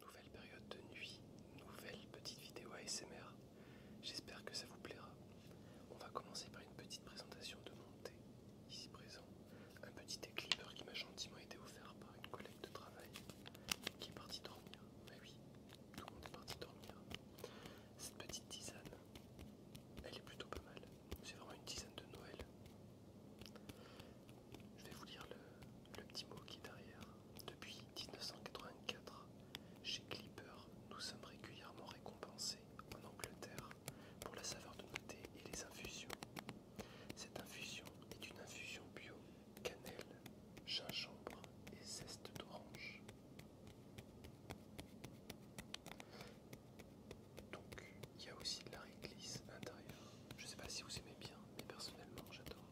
Nouvelle période de nuit, nouvelle petite vidéo ASMR. J'espère que ça vous plaira. On va commencer par une petite présentation de mon thé, ici présent. Un petit thé qui m'a gentiment été offert par une collègue de travail qui est partie dormir. oui, tout le monde est parti dormir. Cette petite tisane, elle est plutôt pas mal. C'est vraiment une tisane de Noël je vais vous lire le, petit mot qui est derrière. Depuis 1984, chez Clipper, nous sommes régulièrement récompensés en Angleterre pour la saveur de nos thés et les infusions. Cette infusion est une infusion bio, cannelle, gingembre et zeste d'orange. Donc, il y a aussi de la réglisse à l'intérieur. Je ne sais pas si vous aimez bien mais personnellement j'adore.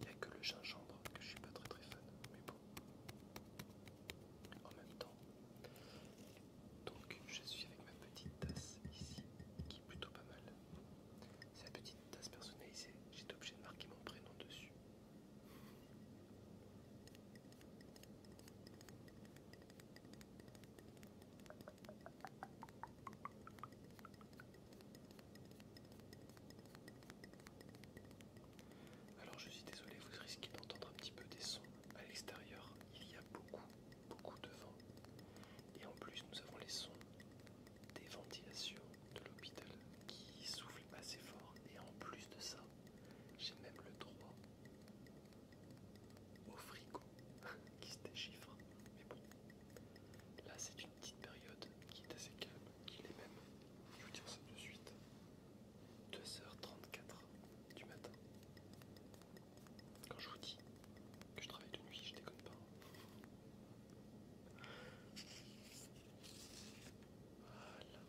Il n'y a que le gingembre que je suis pas très très fan, mais bon. En même temps, donc je suis avec ma petite tasse ici, qui est plutôt pas mal. C'est la petite tasse personnalisée, j'étais obligé de marquer mon prénom dessus. Alors je suis désolé, vous risquez d'entendre un petit peu des sons à l'extérieur. Il y a beaucoup, beaucoup de vent. Et en plus, nous avons les sons des ventilations de l'hôpital qui soufflent assez fort. Et en plus de ça, j'ai même le droit au frigo. qui se déchiffre, mais bon, là c'est une petite période qui est assez calme, qui est même, je vous dire ça de suite, 2h34 du matin. Quand je vous dis que je travaille de nuit, je déconne pas. Hein. Voilà.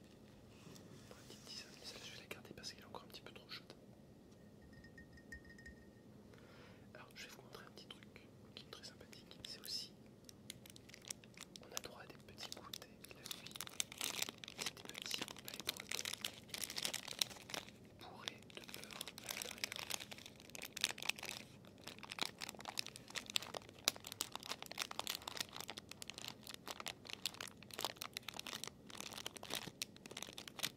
Pour petite dizaine, je vais la garder parce qu'elle est encore un petit peu trop chaude. Alors je vais vous montrer un petit truc qui est très sympathique. C'est aussi, on a droit à des petits goûters la nuit. des petits pailles bretons bourrés de beurre à l'intérieur.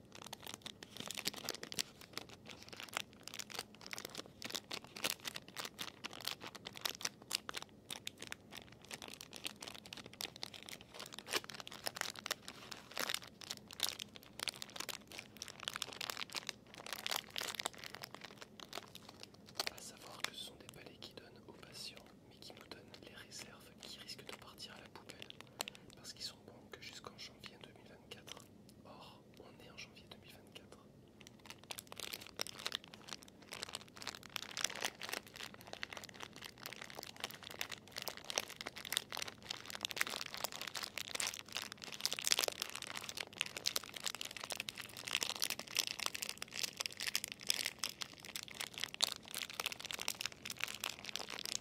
À savoir que ce sont des palais qui donnent aux patients, mais qui nous donnent les réserves qui risquent de partir à la poubelle parce qu'ils sont bons que jusqu'en janvier 2024. Or, on est en janvier 2024.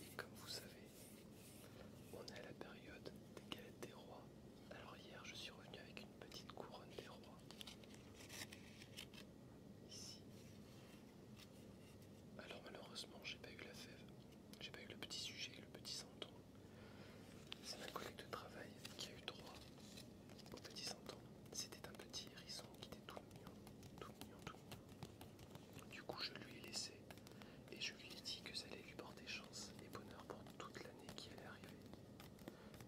Et comme vous savez, on est à la période des galettes des rois. Alors hier, je suis revenu avec une petite couronne des rois. Ici. Alors malheureusement, j'ai pas eu la fève. J'ai pas eu le petit sujet, le petit centon. C'est ma collègue de travail qui a eu droit au petit centon. C'était un petit hérisson qui était tout mignon, tout mignon, du coup, je lui ai laissé et je lui ai dit que ça allait lui porter chance et bonheur pour toute l'année qui allait arriver.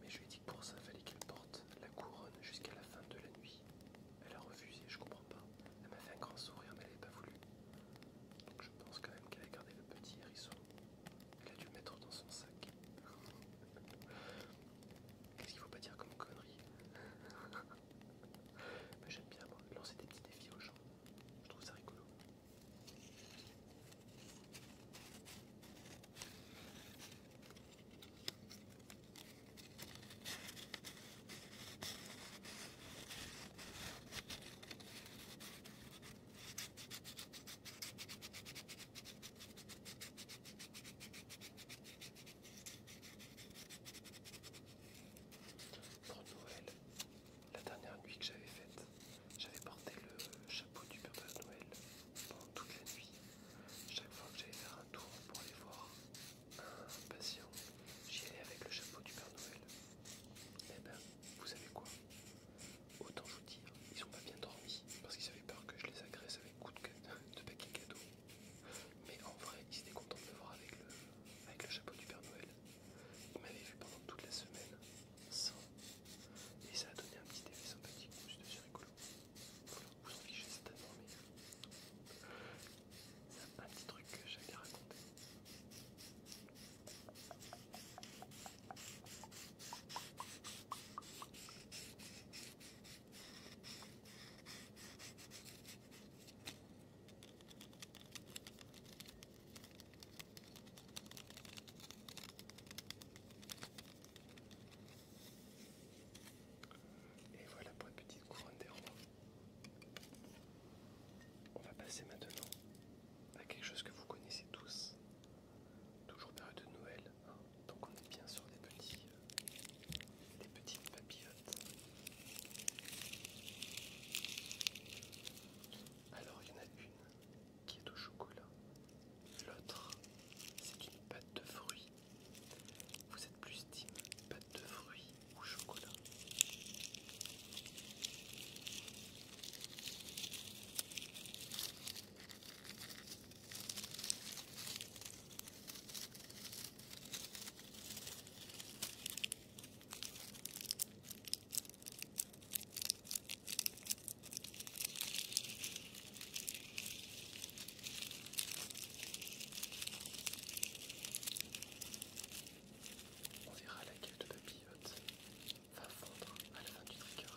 Mais je lui ai dit que pour ça, il fallait qu'elle porte la couronne jusqu'à la fin de la nuit. Elle a refusé, je comprends pas. Elle m'a fait un grand sourire, mais elle n'avait pas voulu. Donc je pense quand même qu'elle a gardé le petit hérisson. Elle a dû le mettre dans son sac. Qu'est-ce qu'il faut pas dire comme connerie Mais j'aime bien lancer des petits défis aux gens. Je trouve ça rigolo. Pour Noël, la dernière nuit que j'avais faite, j'avais porté le chapeau du Père Noël pendant toute la nuit. Chaque fois que j'allais faire un tour pour aller voir un patient, j'y allais avec le chapeau du Père Noël. Eh ben, vous savez quoi Autant vous dire, ils n'ont pas bien dormi parce qu'ils avaient peur que je les agresse avec coup de, de paquet cadeau. Mais en vrai, il était content de me voir avec le, chapeau du Père Noël. Il m'avait vu pendant toute la semaine sans. Et ça a donné un petit effet sympathique, ce de rigolo. Je vous en fichez certainement, C'est euh, Un petit truc que j'avais raconté. Et voilà pour une petite couronne des On va passer maintenant à quelque chose que vous connaissez tous. Toujours période de Noël, donc on est bien sur des petits, euh, des petites papillotes. Alors il y en a une qui est au chocolat, l'autre c'est une pâte de fruits. Vous êtes plus team pâte de fruits ou chocolat on verra la laquelle de papillotes va fondre à la fin du trigger.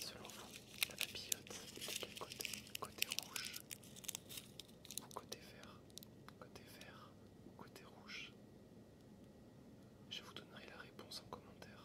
Selon vous, la papillote est côté Côté rouge ou côté vert Côté vert ou côté rouge Je vous donnerai la réponse en commentaire.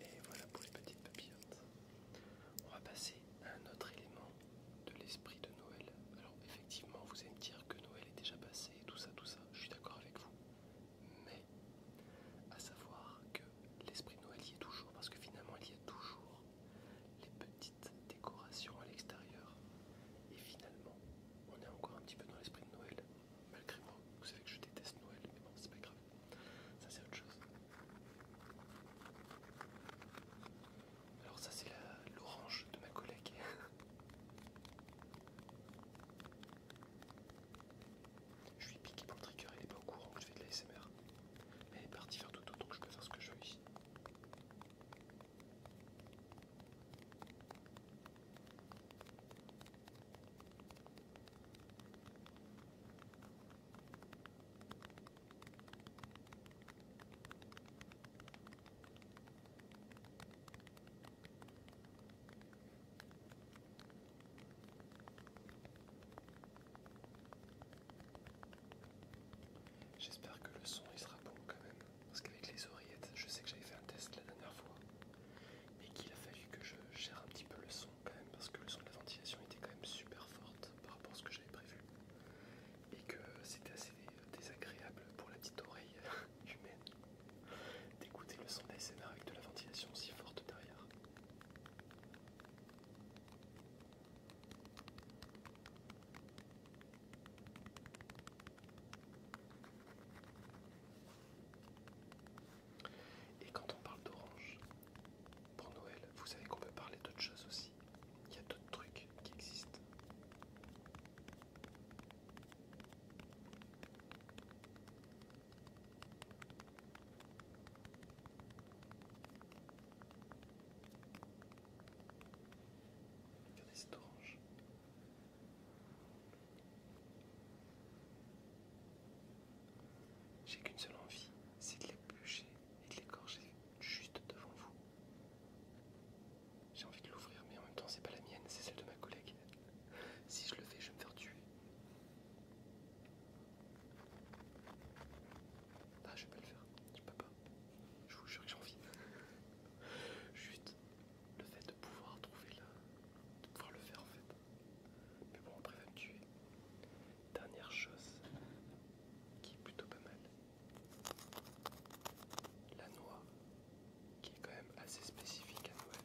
Et voilà pour les petites papillotes. On va passer à un autre élément de l'esprit de Noël effectivement, vous allez me dire que Noël est déjà passé, tout ça, tout ça, je suis d'accord avec vous. Mais, à savoir que l'esprit de Noël y est toujours, parce que finalement, il y a toujours les petites décorations à l'extérieur. Et finalement, on est encore un petit peu dans l'esprit de Noël, malgré moi. Vous savez que je déteste Noël, mais bon, c'est pas grave. Ça, c'est autre chose. Alors ça c'est l'orange de ma collègue. je suis piqué pour le trigger, il n'est pas au courant que je fais de la SMR. Mais elle est partie faire tout autour, donc je peux faire ce que je veux ici. J'espère que le son il sera bon quand même, parce qu'avec les oreillettes, je sais que j'avais fait un test la dernière fois, mais qu'il a fallu que je gère un petit peu le son quand même, parce que le son de la ventilation était quand même super forte par rapport à ce que j'avais prévu et que c'était assez désagréable pour la petite oreille humaine d'écouter le son scénar' avec de la ventilation si forte derrière. Et quand on parle d'orange, pour Noël, vous savez qu'on peut parler d'autres choses aussi. Il y a d'autres trucs qui existent orange. J'ai qu'une seule envie, c'est de l'éplucher et de l'égorger juste devant vous. J'ai envie de l'ouvrir, mais en même temps, c'est pas la mienne, c'est celle de ma collègue. Si je le fais, je vais me faire tuer. Ah, je vais pas le faire, je peux pas. Je vous jure que j'ai envie. Juste le fait de pouvoir trouver là, de pouvoir le faire en fait. Mais bon, après, va me tuer. Dernière chose qui est plutôt pas mal, la noix, qui est quand même assez spécifique à Noël.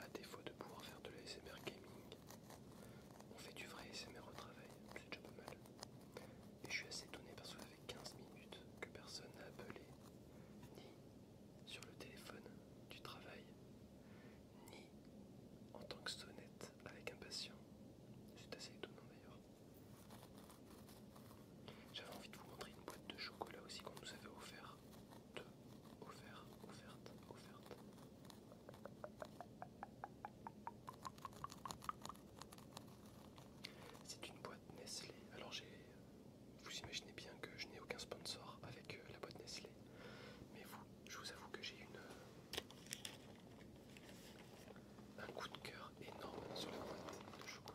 À défaut de pouvoir faire de l'ASMR gaming, on fait du vrai SMR au travail, c'est déjà pas mal. Et je suis assez étonné parce que ça fait 15 minutes que personne n'a appelé, ni sur le téléphone du travail, ni en tant que sonnette avec un patient. C'est assez étonnant d'ailleurs. J'avais envie de vous montrer une boîte de chocolat aussi qu'on nous avait offert. De offert, offerte, offerte. C'est une boîte Nestlé. Alors j'ai. Vous imaginez bien que je n'ai aucun sponsor avec euh, la boîte Nestlé. Mais vous, je vous avoue que j'ai une. Euh, un coup de cœur énorme sur la boîte de chocolat.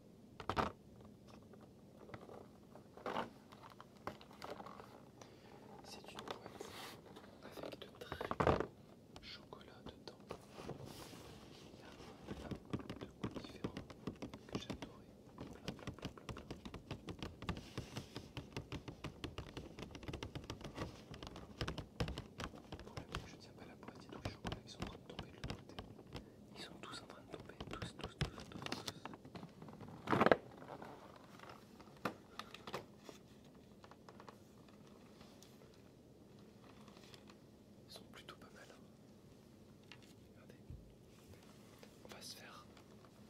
C'est une boîte avec de très beaux chocolats dedans. Il y a plein de goûts différents que j'adorais. Pour la je tiens pas la boîte, il y a tous les chocolats qui sont en train de tomber de l'autre côté. Ils sont tous en train de tomber, tous, tous, tous, tous, Ils sont plutôt pas mal. Hein. Regardez. On va se faire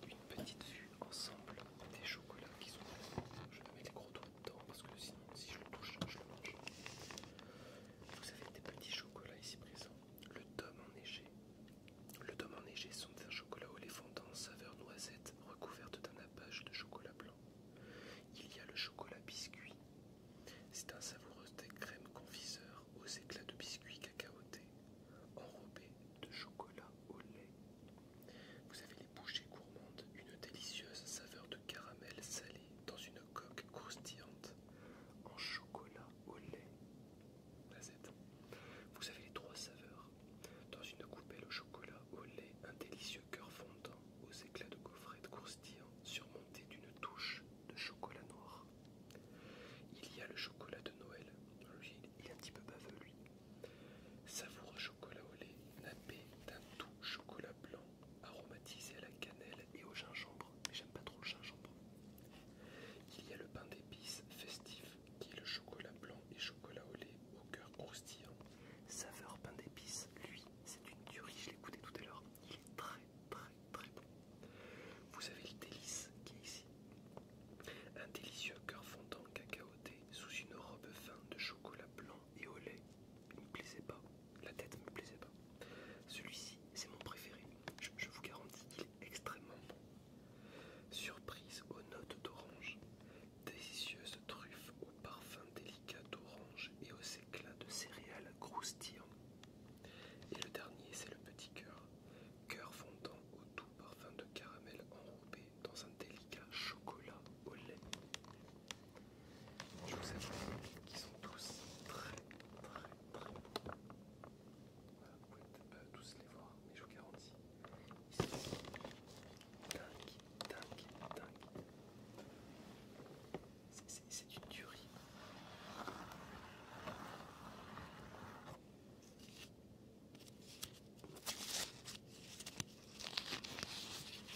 une petite vue ensemble des chocolats qui sont là. Je vais mettre les gros doigts dedans parce que sinon si je le touche, je le mange. Vous avez des petits chocolats ici présents. Le tome enneigé. Le tome enneigé sont un chocolat au lait fondant saveur noisette recouverte d'un appâche de chocolat blanc. Il y a le chocolat biscuit. C'est un savoureux des crème confiseur aux éclats de biscuits cacaoté enrobé de chocolat au lait. Vous avez les bouchées gourmandes, une délicieuse saveur de caramel salé dans une coque croustillante en chocolat au lait Vous avez les trois saveurs. Dans une coupelle au chocolat au lait, un délicieux cœur fondant aux éclats de de croustillants surmonté d'une touche de chocolat noir. Il y a le chocolat de Noël. il est un petit peu baveux lui. chocolat au lait nappé d'un tout chocolat blanc aromatisé à la cannelle et au gingembre, mais j'aime pas trop le gingembre. Il y a le pain d'épices festif qui est le chocolat blanc et chocolat au lait au cœur croustillant. Saveur pain d'épices, lui, c'est une tuerie, je l'ai goûté tout à l'heure. Il est très très très bon. Vous avez le délice qui est ici. Un délicieux cœur fondant cacaoté sous une robe fine de chocolat blanc et au lait. Il ne me plaisait pas la tête me plaisait pas. Celui-ci, c'est mon préféré. Je, vous garantis qu'il est extrêmement bon. Surprise aux notes d'orange, délicieuse truffe au parfum délicat d'orange et aux éclats de céréales croustillants. Et le dernier, c'est le petit cœur. Cœur fondant au doux parfum de caramel enrobé dans un délicat chocolat au lait. Je vous avoue qu'ils sont tous très très très beaux. vous pouvez peut-être pas tous les voir, mais je vous garantis, C'est une tuerie.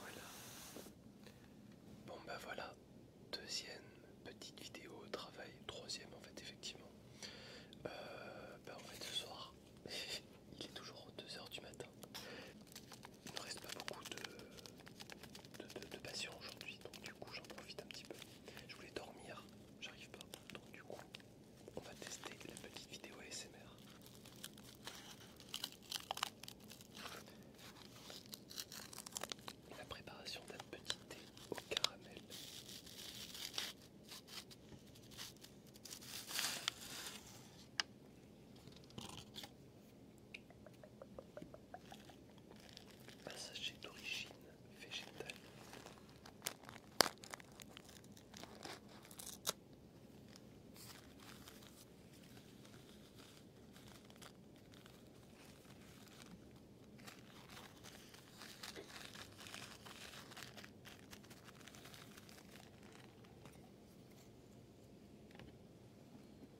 voilà. Bon bah voilà, deuxième petite vidéo au travail, troisième en fait effectivement. Euh, bah, en fait ce soir, il est toujours 2h du matin. Il ne reste pas beaucoup de, de, de patients aujourd'hui, donc du coup j'en profite un petit peu. Je voulais dormir, j'arrive pas. Donc du coup, on va tester la petite vidéo ASMR. La préparation d'un petit thé au caramel passager d'origine végétale.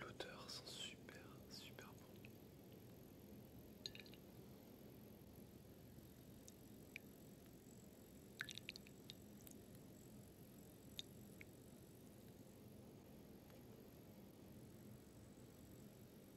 L'odeur sent super, super bon.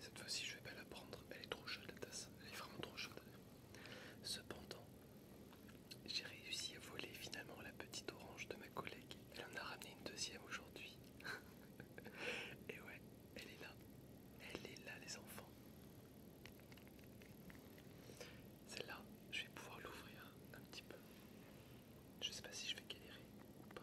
Cette fois-ci, je vais pas la prendre, elle est trop chaude la tasse, elle est vraiment trop chaude. Cependant, j'ai réussi à voler finalement la petite orange de ma collègue. Elle en a ramené une deuxième aujourd'hui. Et ouais, elle est là. Elle est là les enfants. Celle-là, je vais pouvoir l'ouvrir je sais pas si je vais galérer ou pas.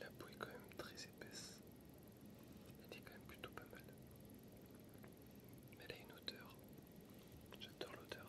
La boue est quand même très épaisse. Elle est quand même plutôt pas mal. Mais elle a une odeur. J'adore l'odeur.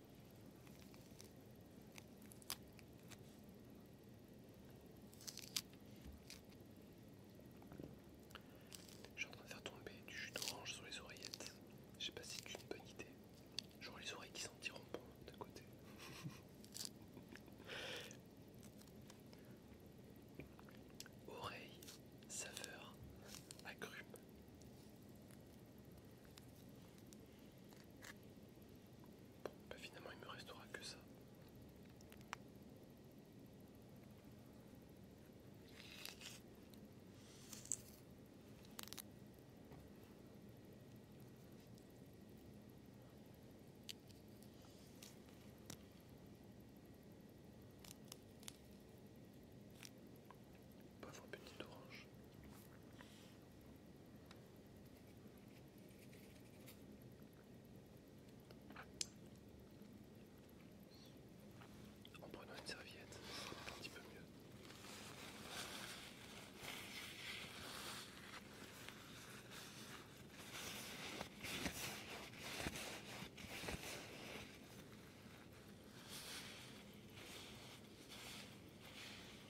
Je suis en train de faire tomber du jus d'orange sur les oreillettes. Je sais pas si c'est une bonne idée. Genre les oreilles qui sentiront bon de côté. Oreille, saveur, agrumes. Bah, finalement il me restera que ça. une petite orange. En prenant une serviette, c'est un petit peu mieux.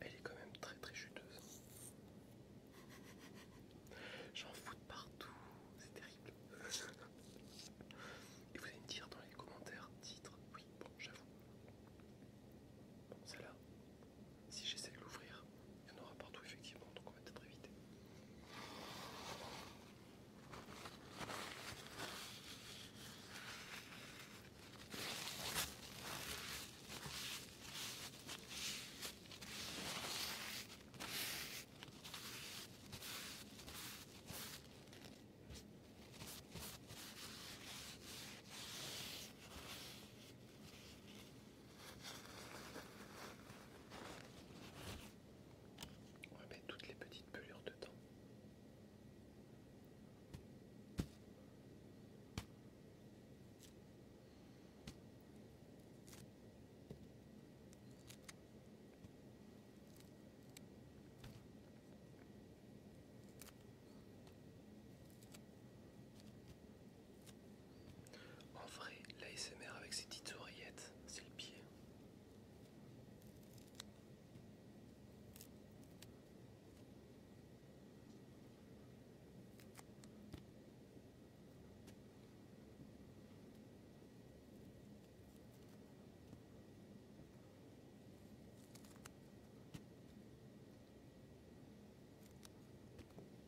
Elle est quand même très très chuteuse. J'en fous de partout, c'est terrible. Et vous allez me dire dans les commentaires, titre, oui, bon, j'avoue. Bon, celle-là, si j'essaie de l'ouvrir, il y en aura partout effectivement, donc on va peut-être éviter. On va toutes les petites pelures dedans. En vrai, l'ASMR avec ses petites oreillettes, c'est le pied.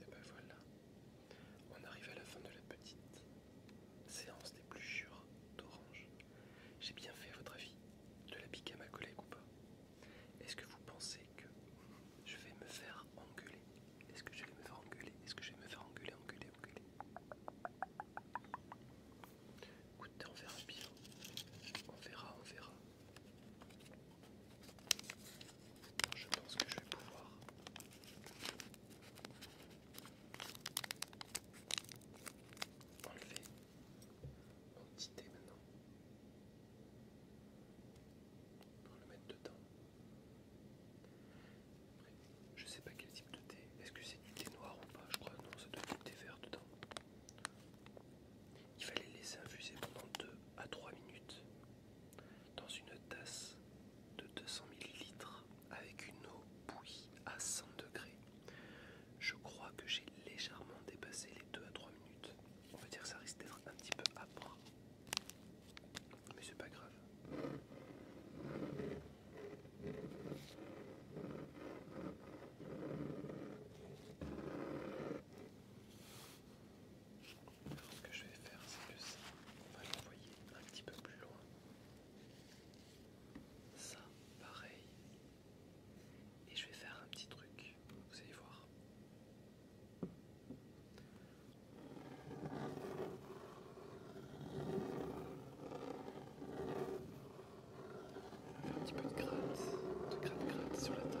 Et ben voilà, on arrive à la fin de la petite séance des plus jures d'orange. J'ai bien fait votre avis de la piquer à ma collègue ou pas est-ce que vous pensez que je vais me faire engueuler Est-ce que je vais me faire engueuler Est-ce que je vais me faire engueuler, engueuler, engueuler Écoutez, on verra bien. On verra, on verra. Je pense que je vais pouvoir. Enlever mon petit thé maintenant pour le mettre dedans. je sais pas quel type de thé. Est-ce que c'est du thé noir ou pas Je crois non, c'est du thé vert dedans. Il fallait laisser infuser pendant 2 à 3 minutes dans une tasse de 200 ml avec une eau bouillie à 100 degrés. Je crois que j'ai légèrement dépassé les 2 à 3 minutes on va dire que ça risque d'être un petit peu âpre. Mais c'est pas grave. Alors ce que je vais faire, c'est que ça, on va l'envoyer un petit peu plus loin. Ça, pareil. Et je vais faire un petit truc. Vous allez voir. Un petit peu de gratte, de gratte sur la table.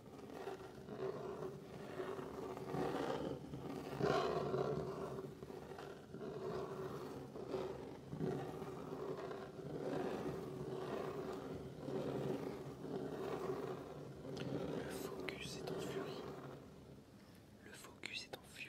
Le focus est en furie. Le focus est en furie.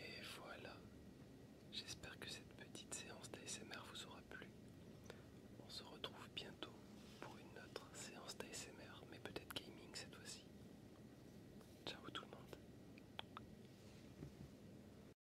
Et voilà, j'espère que cette petite séance d'ASMR vous aura plu. On se retrouve bientôt pour une autre séance d'ASMR, mais peut-être gaming cette fois-ci. Ciao tout le monde.